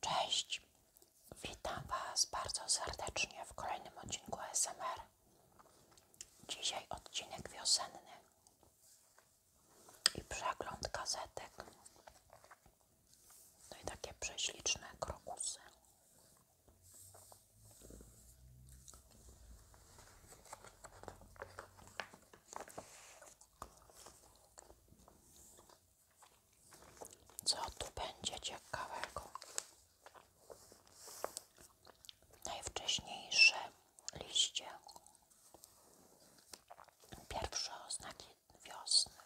Cześć, witam Was bardzo serdecznie w kolejnym odcinku SMR. Dzisiaj odcinek wiosenny i przegląd gazetek. No i takie prześliczne krokusy. Co tu będzie ciekawego? Najwcześniejsze liście, pierwsze oznaki wiosny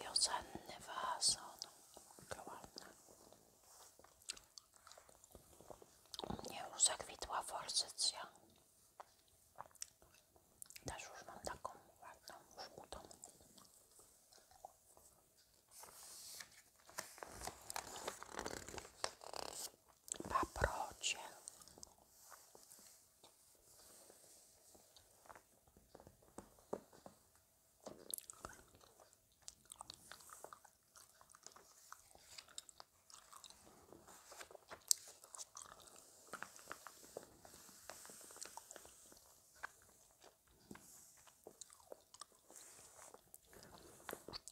wiosenny wazon ogromny. U mnie już zakwitła forsycja. Też już mam taką ładną, żółtą. Paprocie.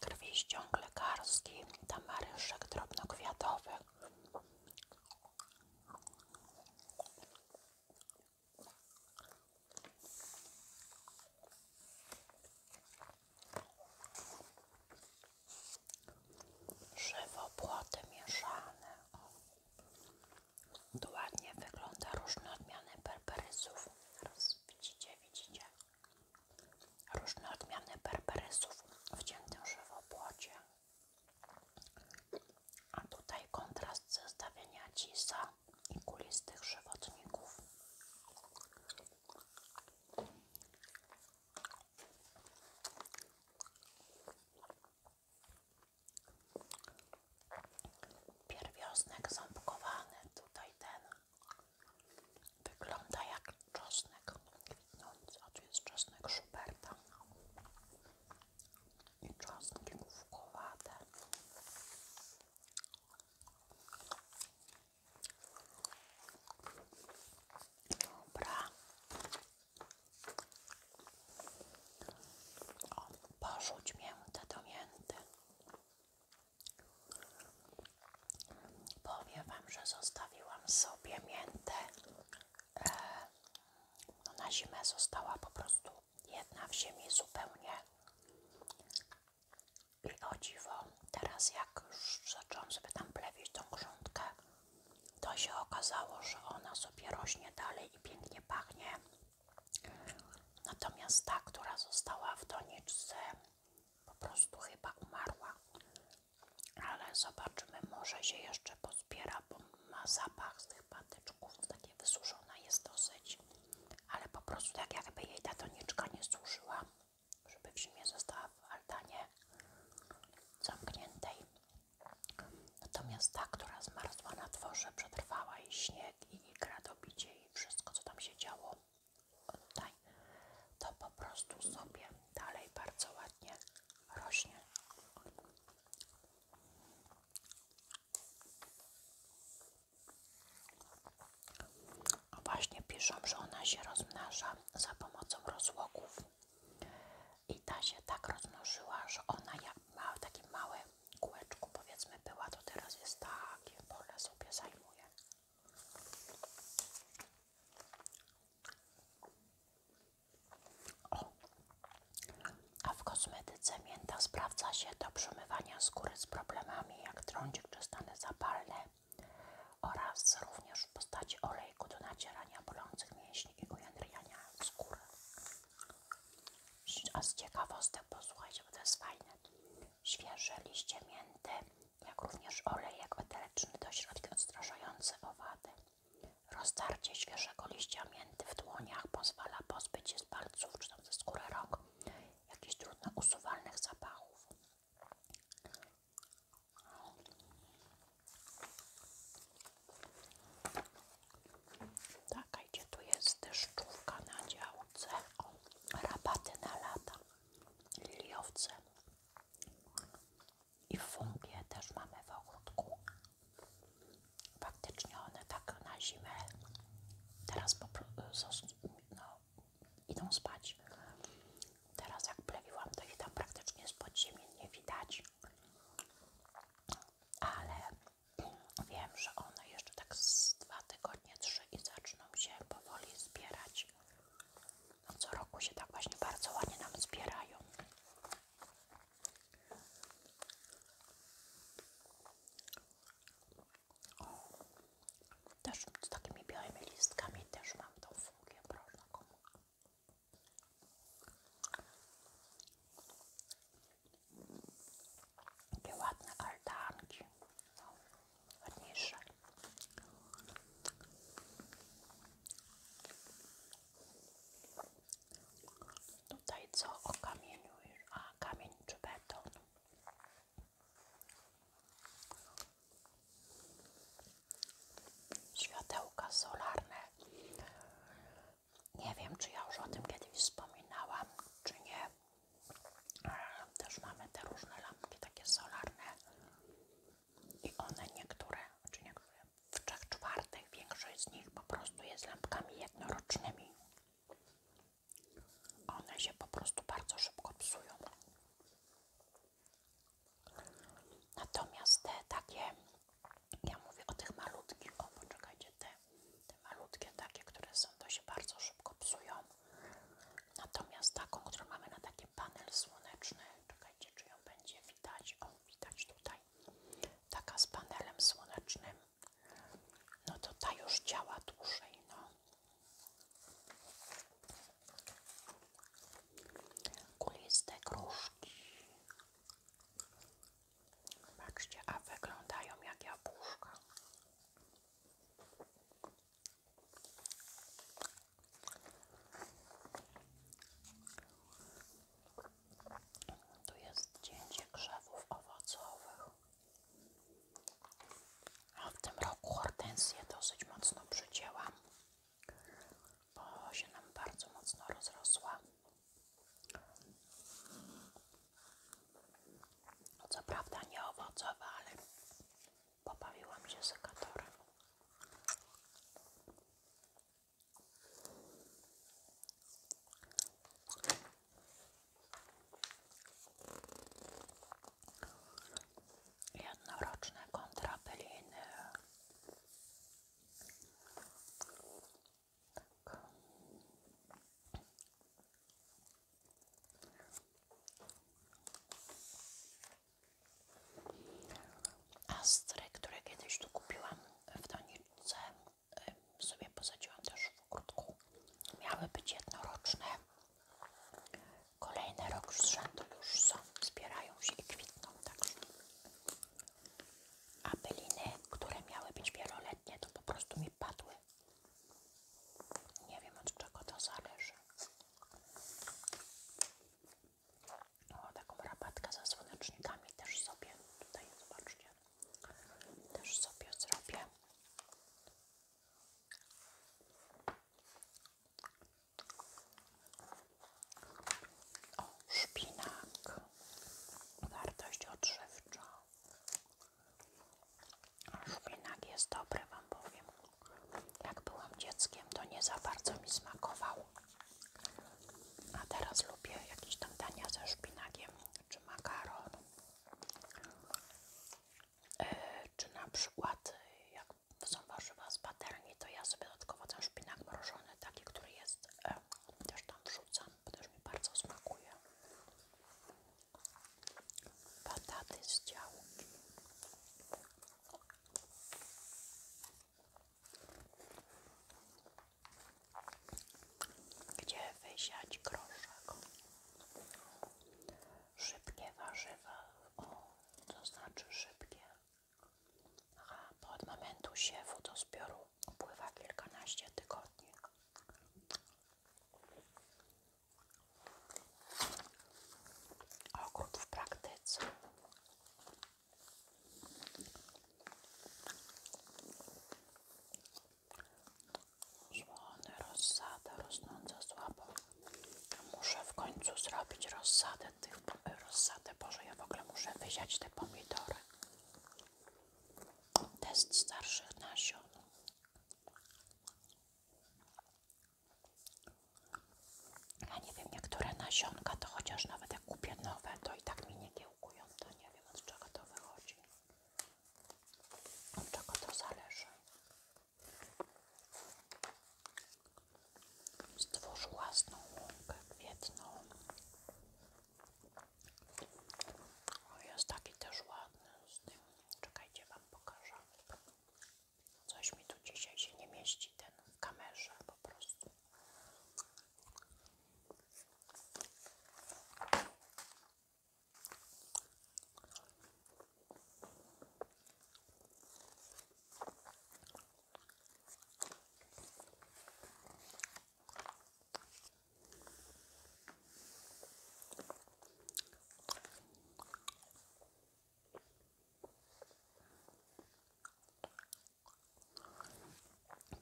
Krwiściąg lekarski, tamaryszek drobnokwiatowy Żywo płoty mieszane. dokładnie wygląda różne odmiany berberysów. widzicie, widzicie? Różne odmiany berberysów w ciętym żywopłocie. A tutaj kontrast zestawienia cisa i kulistych żywotników. Pierwiosnek ząbkowany, tutaj ten wygląda jak czosnek no nic, czosnek Schuberta i czosnki główkowate. Dobra. O, porzuć miętę do mięty. Powiem Wam, że zostawiłam sobie miętę no na zimę została po prostu jedna w ziemi zupełnie. I o dziwo, teraz jak już zacząłem sobie tam plewić tą grządkę, to się okazało, że ona sobie rośnie dalej i pięknie pachnie. Natomiast ta, która została w doniczce, po prostu chyba umarła ale zobaczymy, może się jeszcze pozbiera, bo ma zapach z tych patyczków, takie wysuszona jest dosyć, ale po prostu tak jakby jej ta doniczka nie służyła, żeby w zimie została w altanie zamkniętej. Natomiast ta, która zmarzła na dworze, przetrwała i śnieg, i gradobicie, i wszystko co tam się działo, tutaj, to po prostu sobie dalej bardzo ładnie rośnie. Właśnie piszą, że ona się rozmnaża za pomocą rozłoków. I ta się tak rozmnożyła, że ona jak ma takie małe kółeczku powiedzmy była, to teraz jest takie pole sobie zajmuje. O. A w kosmetyce mięta sprawdza się do przemywania skóry z problemami jak trądzik czy stany zapalne oraz również w postaci olejku do nacierania bolących mięśni i ujędrniania skóry. A z ciekawostek posłuchajcie, bo to jest fajne. Świeże liście mięty jak również olej olejek eteryczny do środka odstraszający owady. Roztarcie świeżego liścia mięty w dłoniach pozwala pozbyć się z palców czy tam ze skóry rąk jakichś trudnych usuwalnych zapachów. Taka gdzie tu jest deszczówka na działce, o, rabaty na lata, liliowce i w fungie też mamy w ogródku. Faktycznie one tak na zimę teraz no, idą spać. Teraz jak plewiłam, to ich tam praktycznie spod ziemi nie widać. Ale wiem, że one jeszcze tak z dwa tygodnie, trzy i zaczną się powoli zbierać. No, co roku się tak właśnie bardzo ładnie nam zbierają. O, też z takimi białymi listkami też mam tą fungię, proszę komu. Takie ładne altanki, no, ładniejsze. Tutaj co o kamieniu, a kamień czy beton? Światełka solarne. Nie wiem, czy ja już o tym kiedyś wspominałam, czy nie. Ale Też mamy te różne lampki takie solarne i one niektóre, czy znaczy niektóre, w trzech czwartych większość z nich po prostu jest lampkami jednorocznymi. One się po prostu bardzo szybko psują. Natomiast te takie, ja mówię o tych malutkich, o poczekajcie, te, te malutkie takie, które są, to się bardzo szybko psują. Natomiast taką, którą mamy na taki panel słoneczny, czekajcie, czy ją będzie widać, o widać tutaj, taka z panelem słonecznym, no to ta już działa dłużej, no. Kuliste gruszki. Zobaczcie, a wyglądają jak jabłuszka. Tu jest zdjęcie krzewów owocowych. A w tym roku hortensję dosyć mocno przycięłam, bo się nam bardzo mocno rozrosła. Co prawda nie owocowa, ale Pobawiłam się sekatorem. Jednoroczne kontrapeliny. Tak. Astry, które kiedyś tu kupiłam w doniczce, y, sobie posadziłam też w kurtku. Miały być jednoroczne. Kolejny rok z rzędu już są, zbierają się i kwitną. Także. A byliny, które miały być wieloletnie, to po prostu mi padły. Nie wiem od czego to zależy. O, taką rabatkę ze słonecznikami też sobie tutaj, zobaczcie, też sobie zrobię. O, szpinak, wartość odżywcza. Szpinak jest dobry, Wam powiem. Jak byłam dzieckiem, to nie za bardzo mi smakował. A teraz lubię jakieś tam dania ze szpinakiem, czy makaron. E, czy na przykład, jak są warzywa z patelni, to ja sobie dodatkowo ten szpinak mrożony, taki, który jest, e, też tam wrzucam, bo też mi bardzo smakuje. Pataty z działki. Gdzie wysiać groszek? Szybkie warzywa. O, znaczy szybkie. a bo od momentu siewu do zbioru upływa kilkanaście tygodni. Ogród w praktyce. Żłony, rozsada rosnąca słabo. Muszę w końcu zrobić rozsadę tych rozsadę. Boże, ja w ogóle muszę wyziać te pomidory. Test starszych nasion. Ja nie wiem, niektóre nasionka to chociaż nawet jak kupię nowe, to i tak mnie nie kiełkują, to nie wiem od czego to wychodzi. Od czego to zależy. Stwórz własną łąkę kwietną. O, jest taki też ładny z tym. Czekajcie, Wam pokażę. Coś mi tu dzisiaj się nie mieści ten w kamerze po prostu.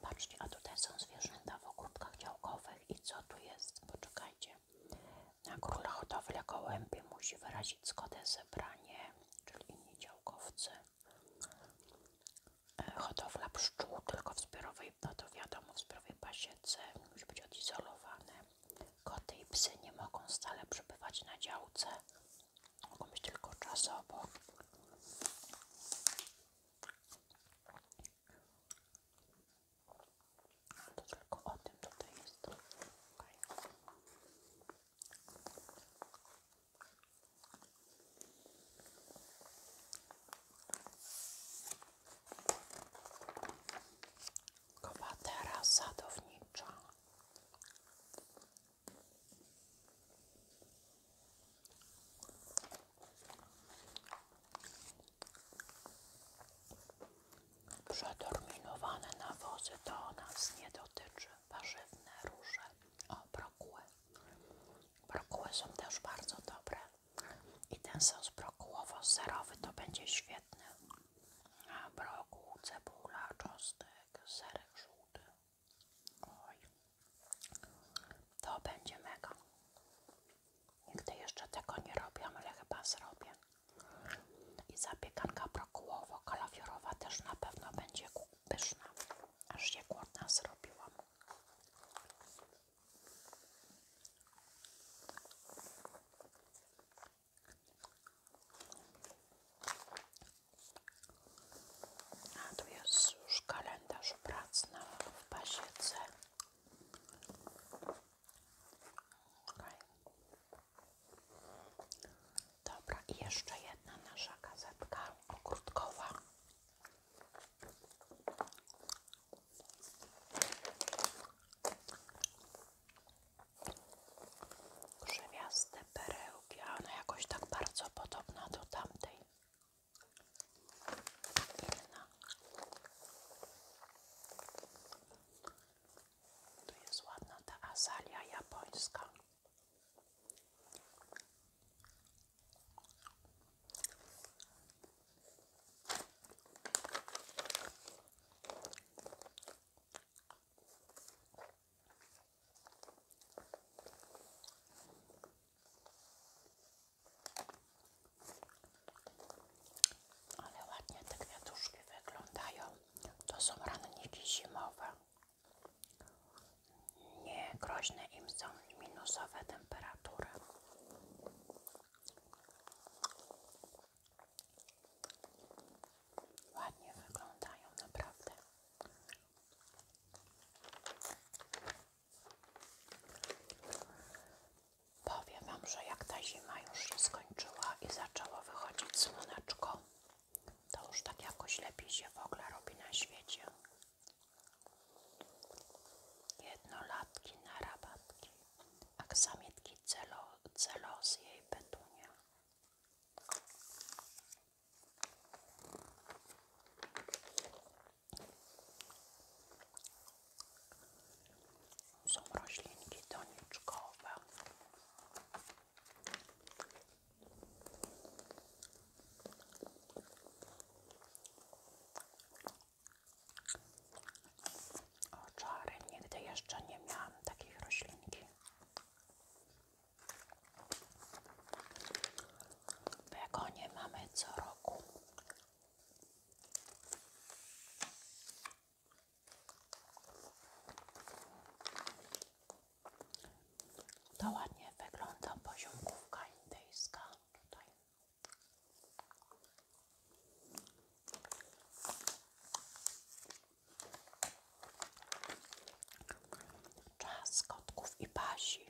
Patrzcie, a tutaj są zwierzęta w ogródkach działkowych i co tu jest? Poczekajcie. Na króla hodowla gołębie musi wyrazić zgodę zebranie, czyli inni działkowcy. E, hodowla pszczół tylko w zbiorowej, no to wiadomo, w zbiorowej pasiece musi być odizolowane. Koty i psy nie mogą stale przebywać na działce, mogą być tylko czasowo. tylko o tym tutaj jest. Kowatera sadownicza. Przeterminowane nawozy to nas nie dotyczy. Warzywne róże. O, brokuły. Brokuły są też bardzo dobre. I ten sos brokułowo-serowy to będzie świetny. Brokuł, cebula, czosnek, serek żółty. Oj, to będzie mega. Nigdy jeszcze tego nie robiłam, ale chyba zrobię. I zapiekanka brokułowo-kalafiorowa też na pewno będzie pyszna. Aż się głodna zrobiłam. A tu jest już kalendarz prac na w pasiece. Dobra, i jeszcze jedna nasza gazetka ogródkowa. Krzewiaste perełki, a ona jakoś tak bardzo podobna do tamtej. Inna. Tu jest ładna ta azalia japońska. Ale ładnie te kwiatuszki wyglądają. To są ranniki zimowe. Nie groźne im są minusowe temperatury. Ładnie wyglądają naprawdę. Powiem Wam, że jak ta zima już się skończyła i zaczęło wychodzić słoneczko, to już tak jakoś lepiej się w ogóle robi na świecie. Jednolatki na rabatki aksamitki celo, celos jej petunia. Są roślinki doniczkowe. O czary, nigdy jeszcze nie miałam takiej roślinki. Begonie mamy co roku. To ładnie wygląda poziomkówka indyjska tutaj. Czas kotków i pasi.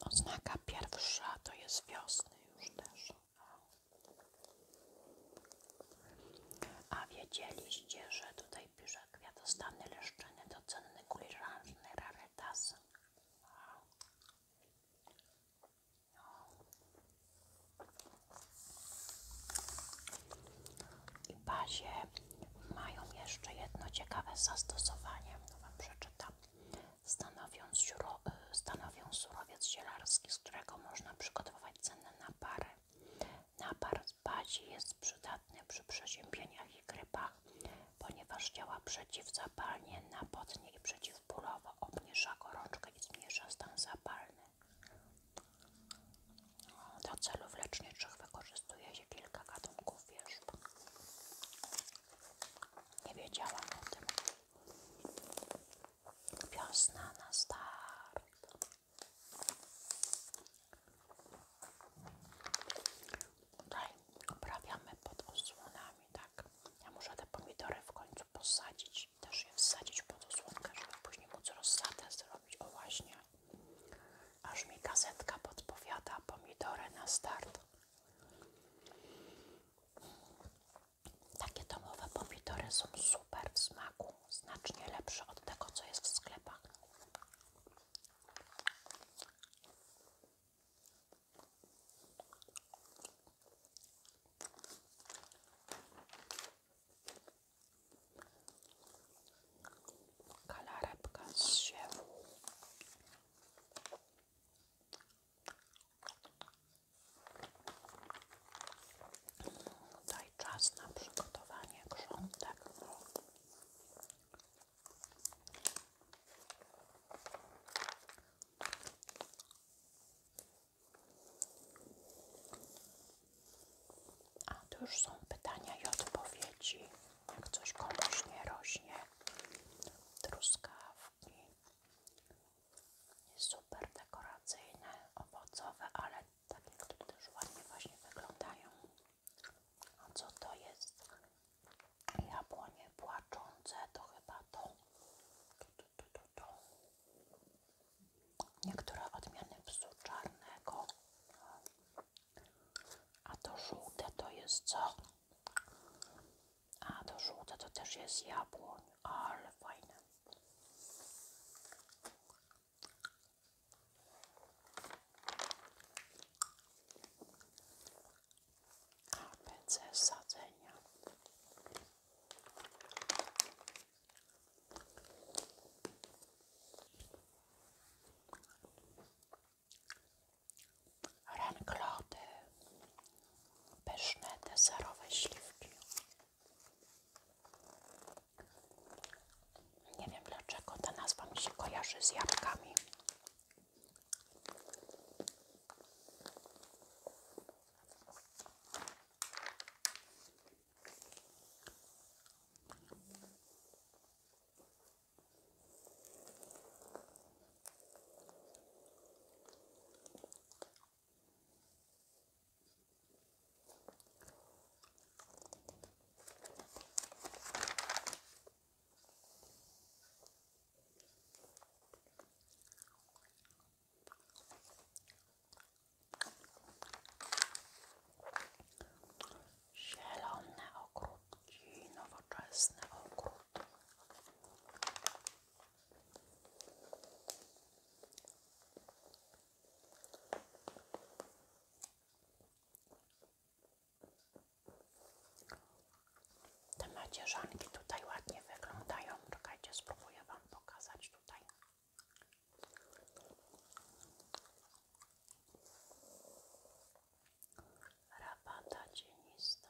Oznaka pierwsza to jest wiosny już też. A wiedzieliście, że tutaj pisze kwiatostany, leszczyny, docenny, kuliżanżny, rarytasy. I bazie mają jeszcze jedno ciekawe zastosowanie, no Wam przeczytam. E, stanowią, surowiec zielarski, z którego można przygotować cenne napary. Napar z bazi jest przydatny przy przeziębieniach i grypach, ponieważ działa przeciwzapalnie, napotnie i przeciwbólowo, obniża gorączkę i zmniejsza stan zapalny. Do celów leczniczych wykorzystuje się kilka gatunków wierzb. Nie wiedziałam o tym. Piosna na start. Tutaj uprawiamy pod osłonami, tak? Ja muszę te pomidory w końcu posadzić, też je wsadzić pod osłonkę, żeby później móc rozsadzać, zrobić. O właśnie, aż mi gazetka podpowiada pomidory na start. Takie domowe pomidory są super w smaku, znacznie lepsze od tego, co jest w sklepach. Kalarepka z Daj czas na przygotowanie grządek. A tu już są pytania i odpowiedzi, jak coś komuś nie rośnie. Truskawki. Super dekoracyjne, owocowe, ale takie, które też ładnie właśnie wyglądają. A co to jest? Jabłonie płaczące to chyba to. Niektóre odmiany psu czarnego. A to żółte to jest co? A to żółte to też jest jabłonie. ale fajne. ABC sadzenia. Ranklody, pyszne deserowe śliwki. Nie wiem dlaczego ta nazwa mi się kojarzy z jabłkami. Zielone ogródki, nowoczesny ogród. Te macierzanki tutaj ładnie wyglądają. Czekajcie, spróbuję Wam pokazać tutaj. Rabata cienista.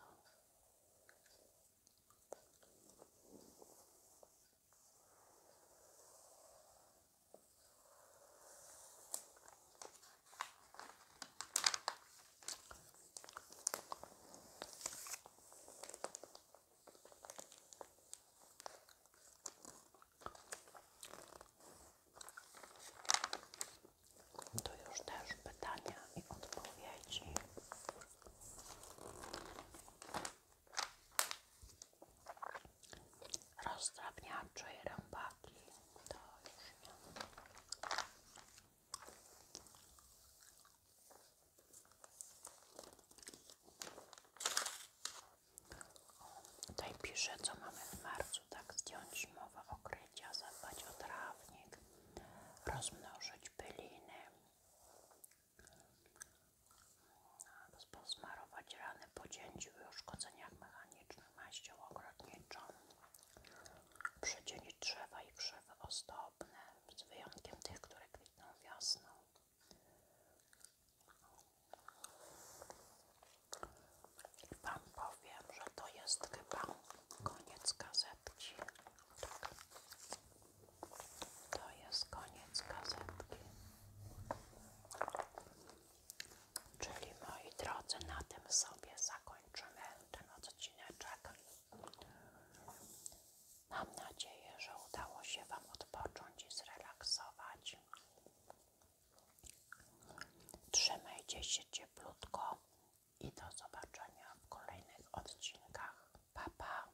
To już też pytania i odpowiedzi rozdrabniacze i rębaki to tutaj pisze co mamy w marcu tak zdjąć mowę okrycia zadbać o trawnik rozmnożyć byliny no, posmarować rany po cięciu i uszkodzeniach mechanicznych maścią ogrodniczą przy dzieli i krzewy ozdobne, z wyjątkiem tych, które kwitną wiosną. I Wam powiem, że to jest chyba koniec gazetki. Tak. To jest koniec gazetki. Czyli moi drodzy, na tym sobie zakończymy ten odcineczek. Mam nadzieję, że udało się Wam odpocząć i zrelaksować. Trzymajcie się cieplutko i do zobaczenia w kolejnych odcinkach. Pa,